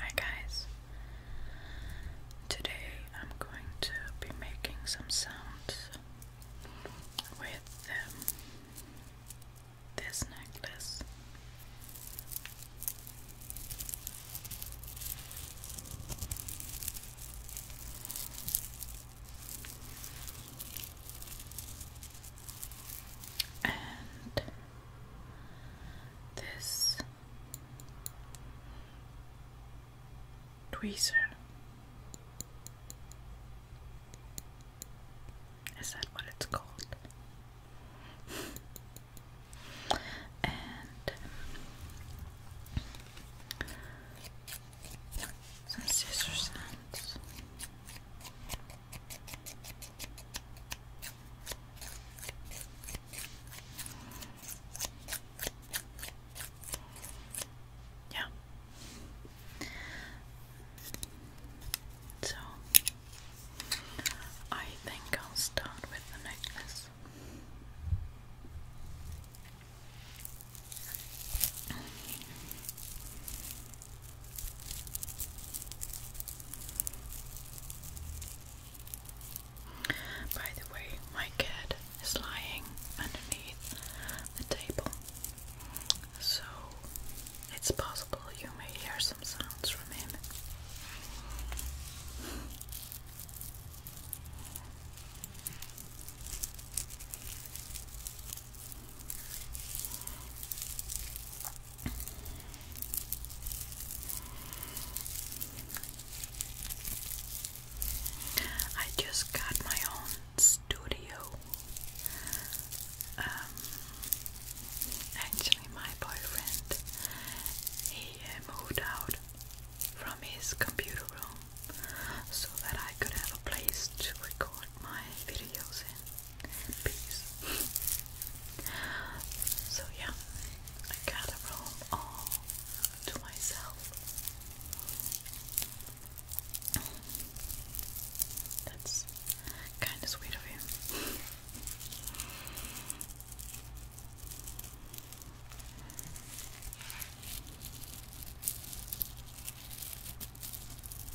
Hi guys. Today I'm going to be making some sounds with um, this necklace. And this tweezer. Is that what it's called? and some scissors yeah. So I think I'll start with the necklace. By the way, my cat is lying underneath the table, so it's possible you may hear some sounds from him. I just got my own studio. Um, actually, my boyfriend he uh, moved out from his computer room so that I could have a place to record my videos in piece. so yeah, I got a room all to myself. That's kind of sweet of you.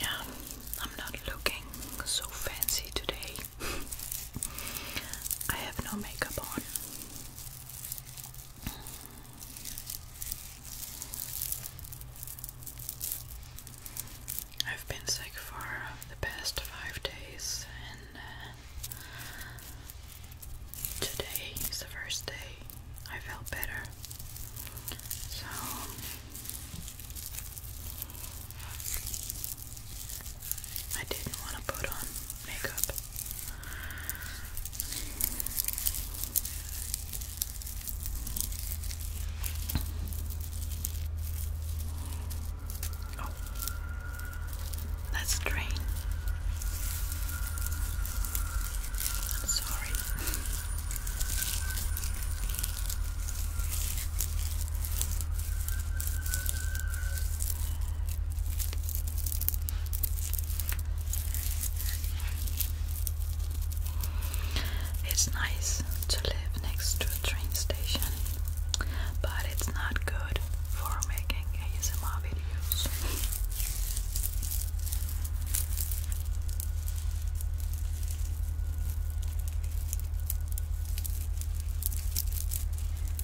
Yeah, I'm not looking so fancy today. I have no makeup on. I've been sick for the past five days, and uh, today is the first day I felt better. So, I didn't want to put on makeup. Oh, drain. sorry. It's nice to live next to a train station, but it's not good for making ASMR videos.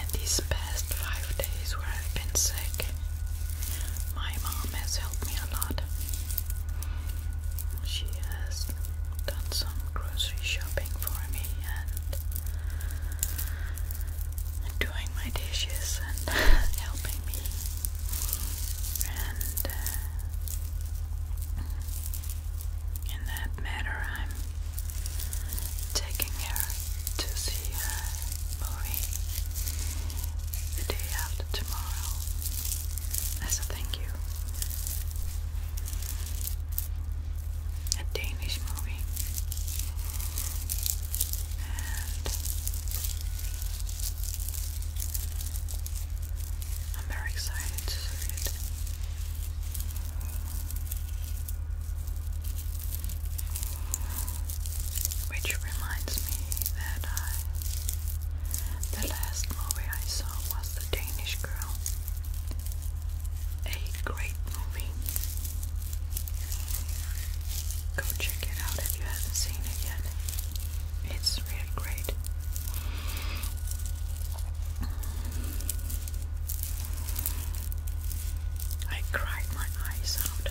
And these past five days where I've been sick, my mom has helped me a lot. She has done some grocery shopping for me and doing my dishes and helping me. Uh, in that matter, I'm taking her to see a movie the day after tomorrow as a thank you. A Danish movie. I'm very excited to see it. Which reminds me that the last movie I saw was The Danish Girl. A great movie. Go check it out if you haven't seen it yet. It's is really great. I cried my eyes out.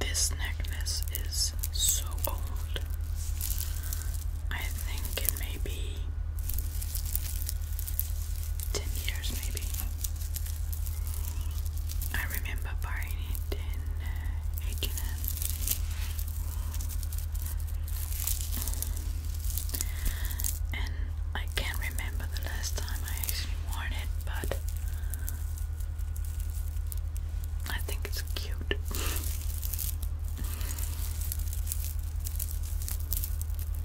This necklace is so old. I think it may be 10 years, maybe. I remember buying it in H&M. And I can't remember the last time I actually worn it, but I think it's cute.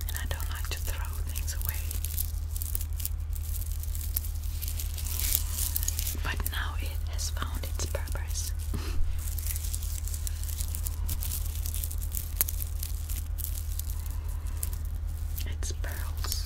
and I don't like to throw things away. But now it has found its purpose. it's pearls.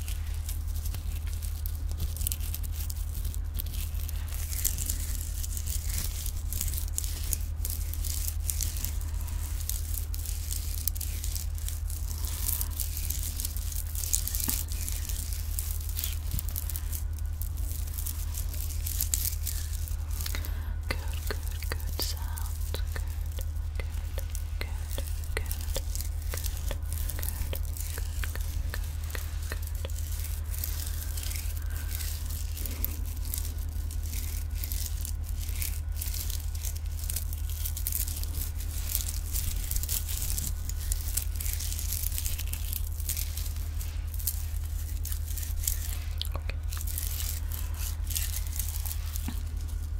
good, good sound, good, good, good good, good, good, good, good, good. Okay. Chop,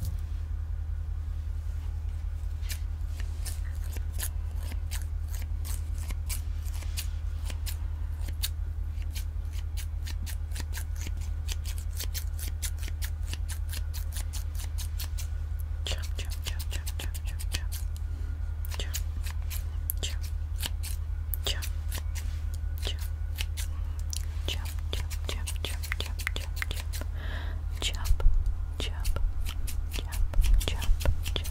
chop, chop, chop, chop, chop, chop. Chop, chop, chop, chop. Chop, chop, chop, chop, chop, chop, chop. Chop, jump, jump, jump, jump, jump.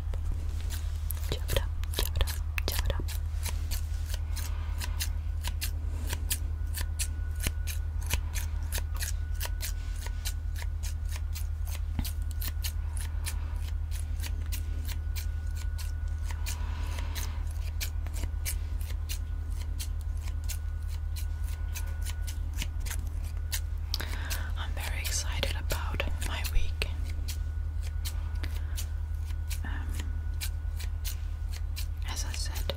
up, it up, jab it up, jab it up. I'm very excited about my week. Um, as I said,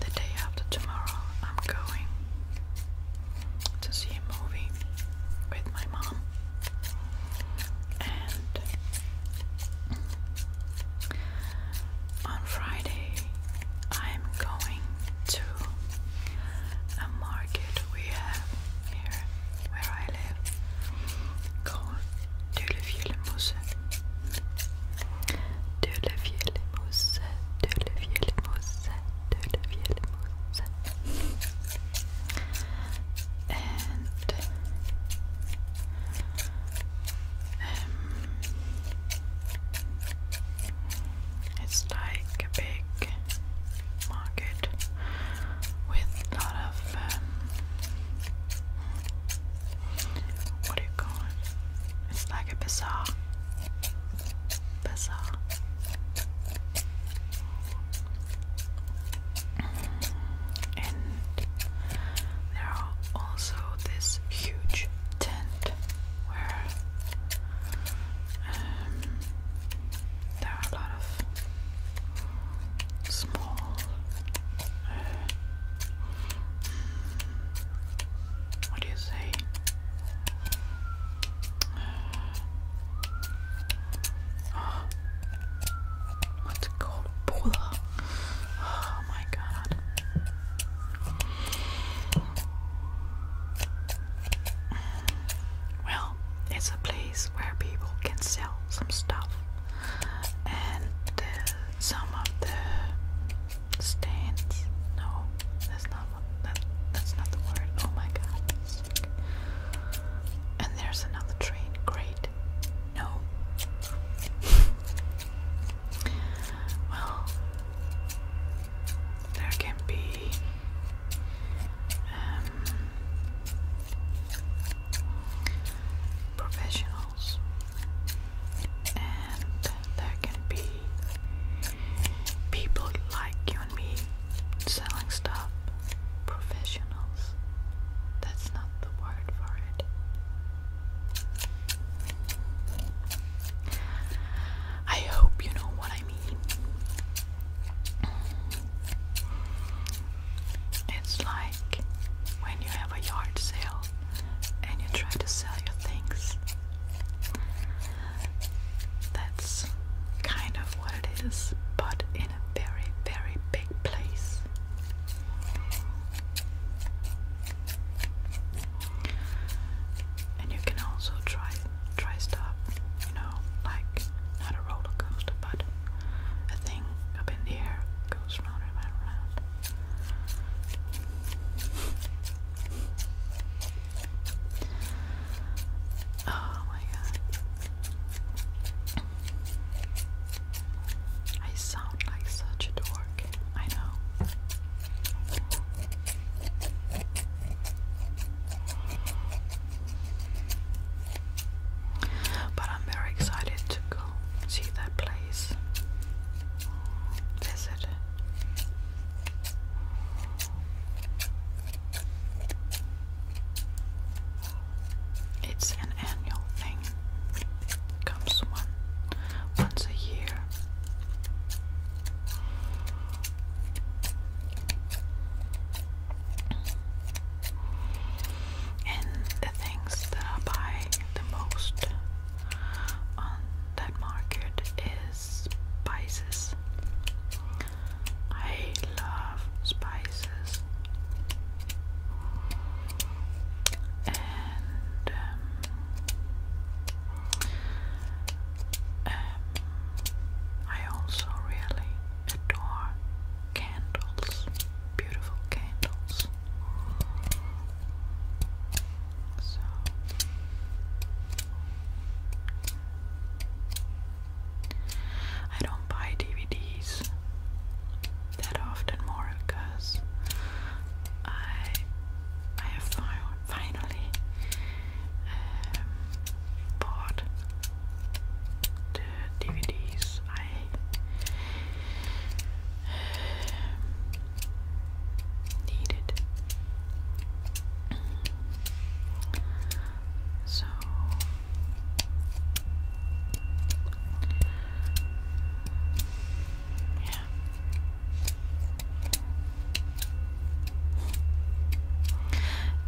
the day after tomorrow, I'm going to see a movie with my mom, and on Friday, I'm going to a market we have here where I live, called deulevieux mousses deulevieux mousses deulevieux mousses deulevieux mousses And um, it's like a big market with a lot of um, what do you call it? It's like a bazaar, bazaar. And there are also this huge tent where um, there are a lot of small. Uh, what do you say? Uh, what's called? Bula. Oh my god. Well, it's a place where people can sell some stuff, and uh, some of the stands. No, that's not that. That's not the word. Oh my god! And there's another train. Great. No. well, there can be um, professionals, and there can be people like you and me selling stuff. Professionals. That's not the word for it. I hope you know what I mean. It's like when you have a yard sale and you try to sell your things. That's kind of what it is, but in a very, very big place. And you can also try try stop you know, like not a roller coaster, but a thing up in the air goes round and round and round. Oh my god. I sound like such a dork, I know. But I'm very excited to go see that place, visit It's an annual thing. comes one once a year and the things that I buy the most on that market is spices. I love spices. And um, um, I also really adore candles, beautiful candles. So I don't buy DVDs that often more because I I have finally um, bought the DVDs I needed. So yeah.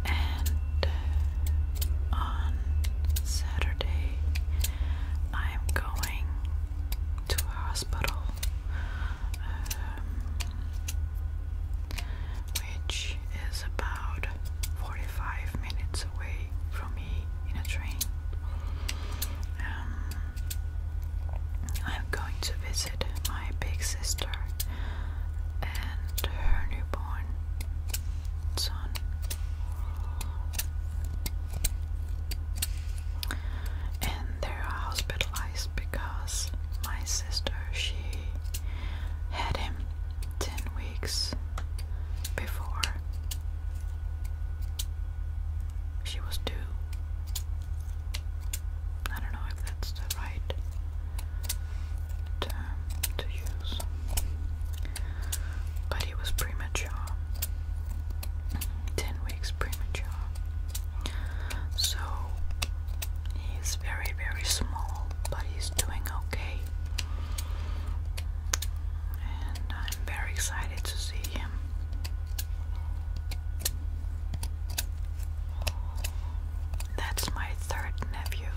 And on Saturday. I am going to a hospital, um, which is about 45 minutes away from me in a train. Um, I'm going to visit my big sister and her newborn it's on. And they're hospitalized because my sister she had him ten weeks before she was due. I don't know if that's the right to use, but it was premature. 10 weeks premature. So he's very, very small, but he's doing okay. And I'm very excited to see him. That's my third nephew.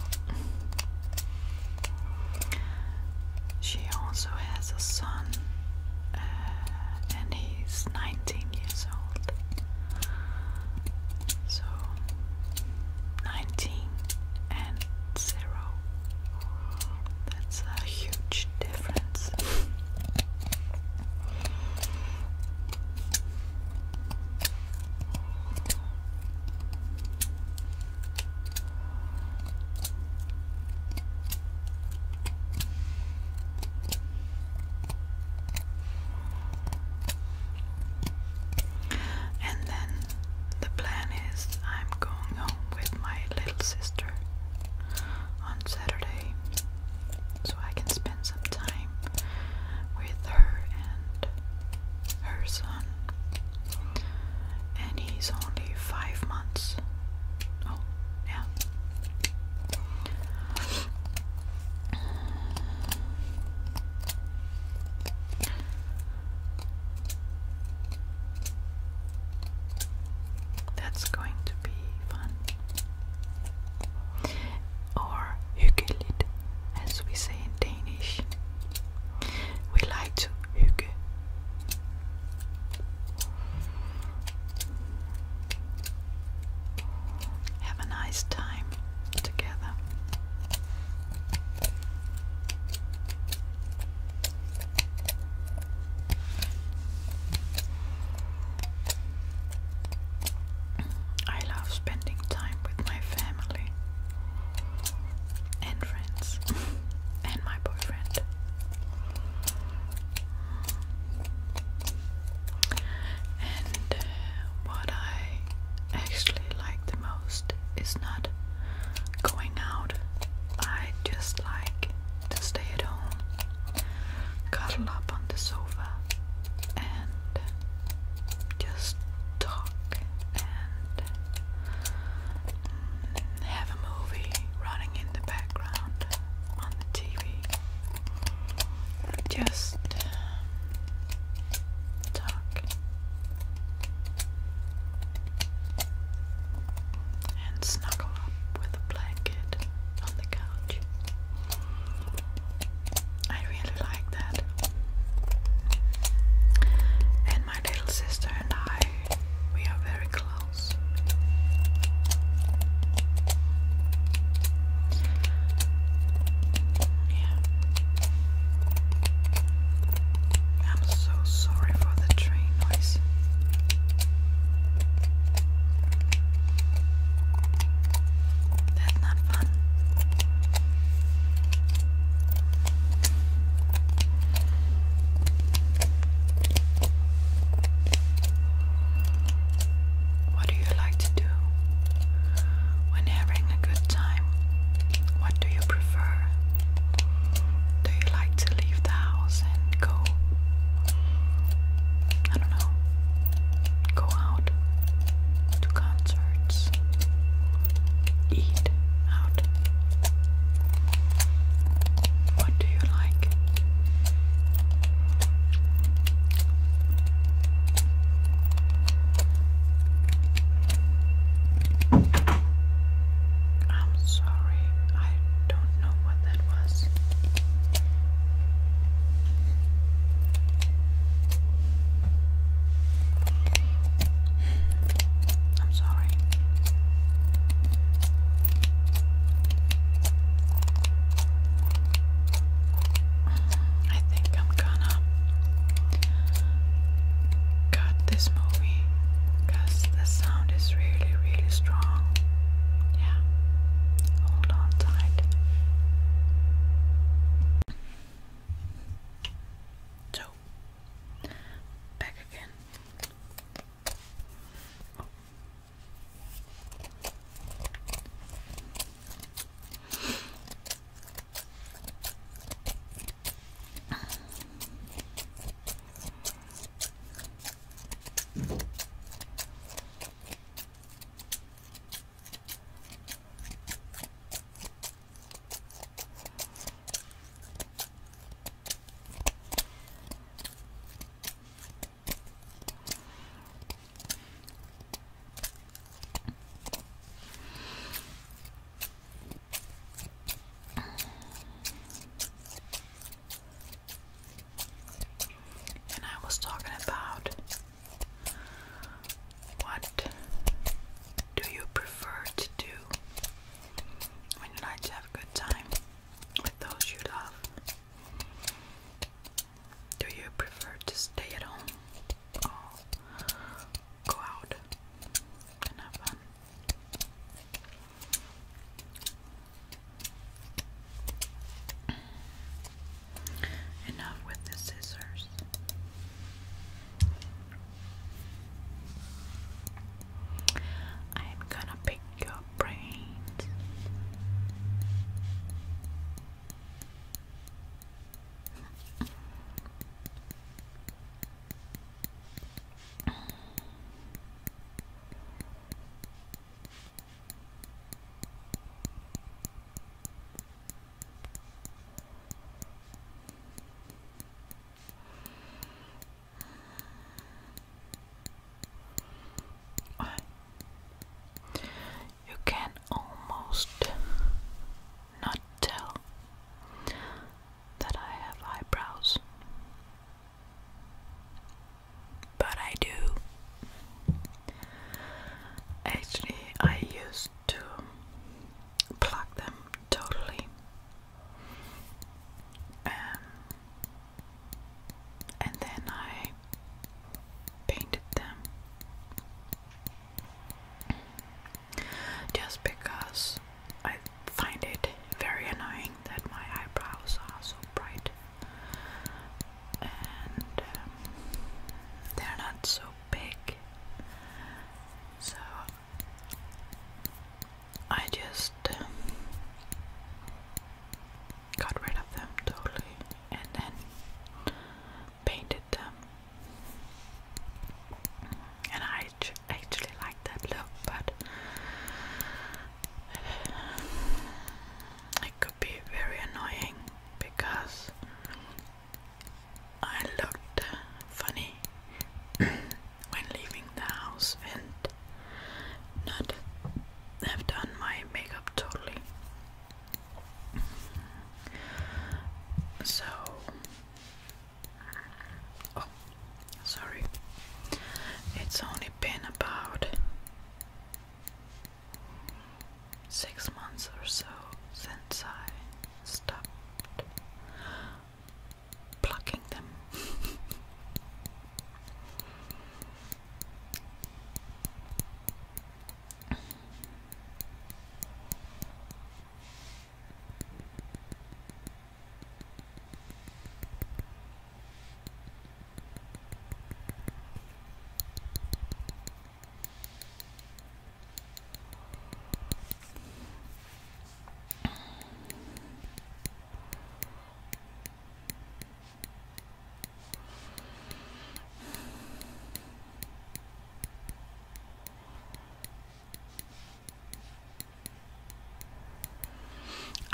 She also has a son, uh, and he's 19 years old. So, 19 and 0. That's a huge difference. And then the plan is I'm going home with my little sister on Saturday so I can spend some time with her and her son, and he's only five months. Oh, yeah. That's going to be fun. Or Hügelit, as we say in Danish. We like to hygge. Have a nice time together. I love spending time with my family and friends and my boyfriend. And uh, what I actually like the most is not going out. I just like to stay at home, cuddle up on the sofa, and just talk and have a movie running in the background on the TV. Just um, talk and snuggle up with a blanket on the couch. I really like that. And my little sister and I, we are very close. Yeah. I'm so sorry for the train noise. That's not fun. What do you like to do when having a good time? What do you prefer? Do you like to leave the house and go? I don't know. Go out to concerts, eat out? What do you like? I'm sorry, I don't know what that was. I'm sorry. I think I'm gonna cut this movie because the sound is really, really strong. Yeah, hold on tight. So, Back again. And I was talking about what do you prefer to do when you have good time with those you love? Do you prefer to stay at home or go out and have fun? Enough with the scissors. I'm gonna pick your brains. You can almost not tell that I have eyebrows, but I do. Actually, I used to pluck them totally. Um, and then I painted them just because I find it very annoying that my eyebrows are so bright and um, they're not so big. So I just um, got rid of them totally and then painted them. And I actually like that look, but it could be very annoying because I looked funny when leaving the house and not have done my makeup totally. So, oh, sorry, it's only been about six months or so since I stopped plucking them.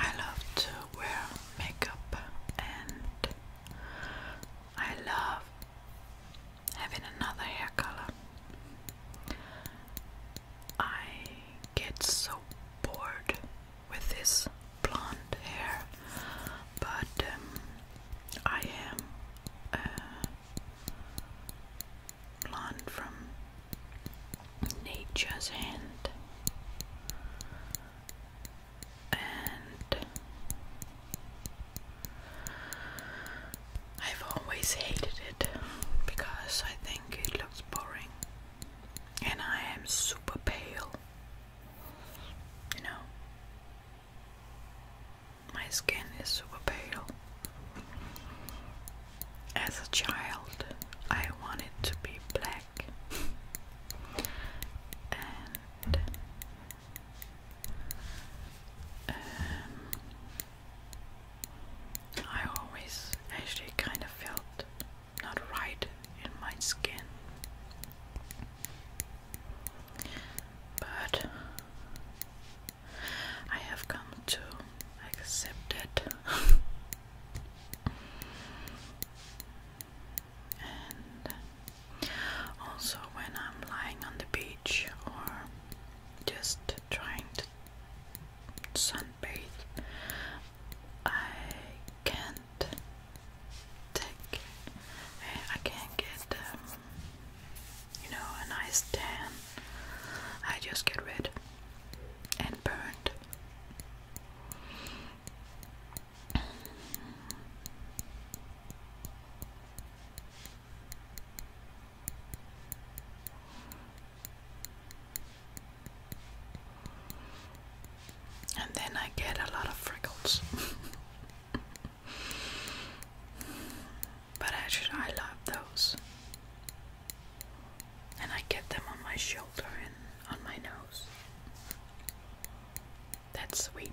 I love to wear makeup and I love having another hair color. I get so bored with this blonde hair, but um, I am uh, blonde from nature's hand, and I've always hated it because I think it looks boring and I am super pale. You know, my skin is super pale. As a child, I wanted to be black, um, I always actually kind of felt not right in my skin. But I have come to accept it. and also, when I'm lying on the beach or just trying to sunbathe, I can't take, I can't get, um, you know, a nice tan. I just get red and burned. And then I get a lot of freckles. but actually, I love those. And I get them on my shoulder and on my nose. That's sweet.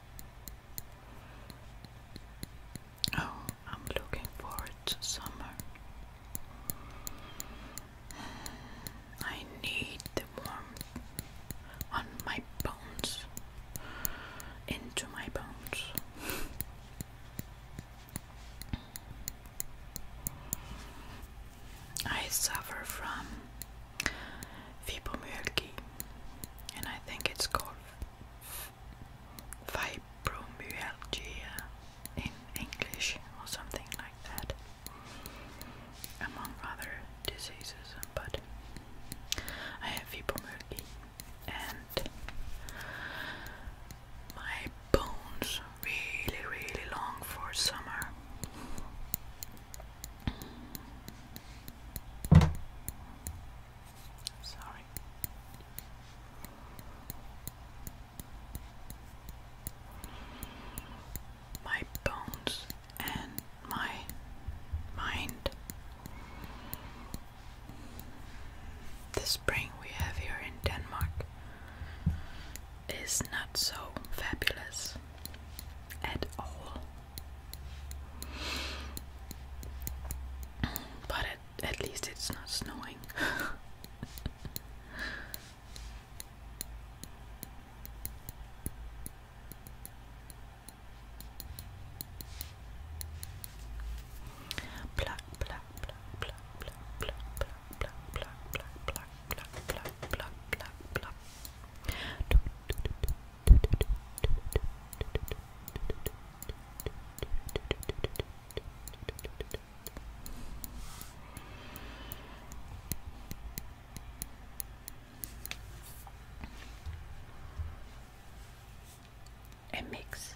Oh, I'm looking forward to summer. I need the warmth on my bones, into my bones. I suffer from fibromyalgia, and I think it's called fibromyalgia in English or something like that, among other diseases. But I have fibromyalgia, and my bones really, really long for summer. Sorry. My bones and my mind. The spring we have here in Denmark is not so fabulous at all. But at least it's not snowing. A mix.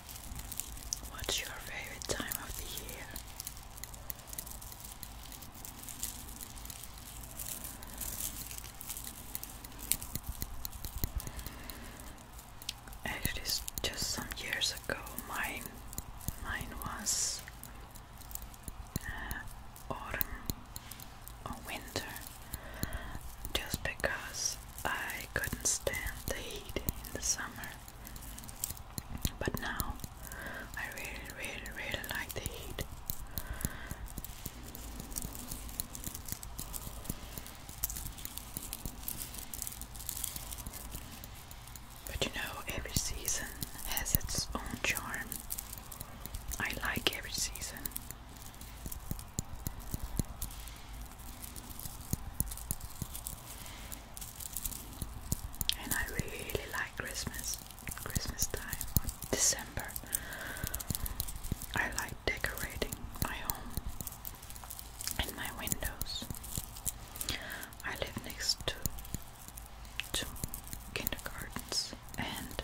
What's your favorite time of the year? Actually, just some years ago, mine, mine was uh, autumn or winter, just because I couldn't stand the heat in the summer. But now I really, really, really like the heat. But you know, every season has its own charm. I like every season and I really like Christmas, Christmas time, December. I like decorating my home and my windows. I live next to two kindergartens and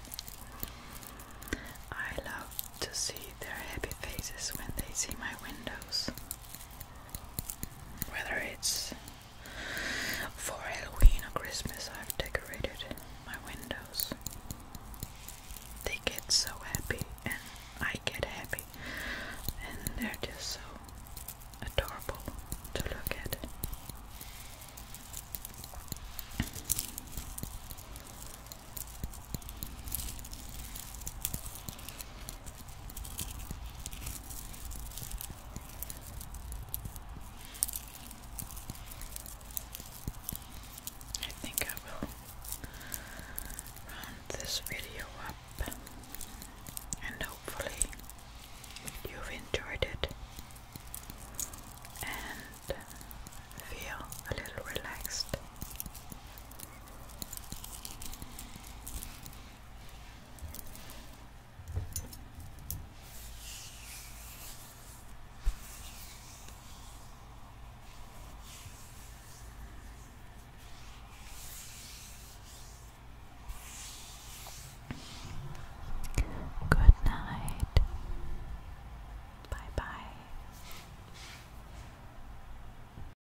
I love to see their happy faces when they see my windows. Whether it's for Halloween or Christmas, I've decorated my windows. They get so happy, and I get happy, and they're just so adorable to look at. I think I will round this video up and hopefully you've enjoyed it and feel a little relaxed. Good night. Bye bye.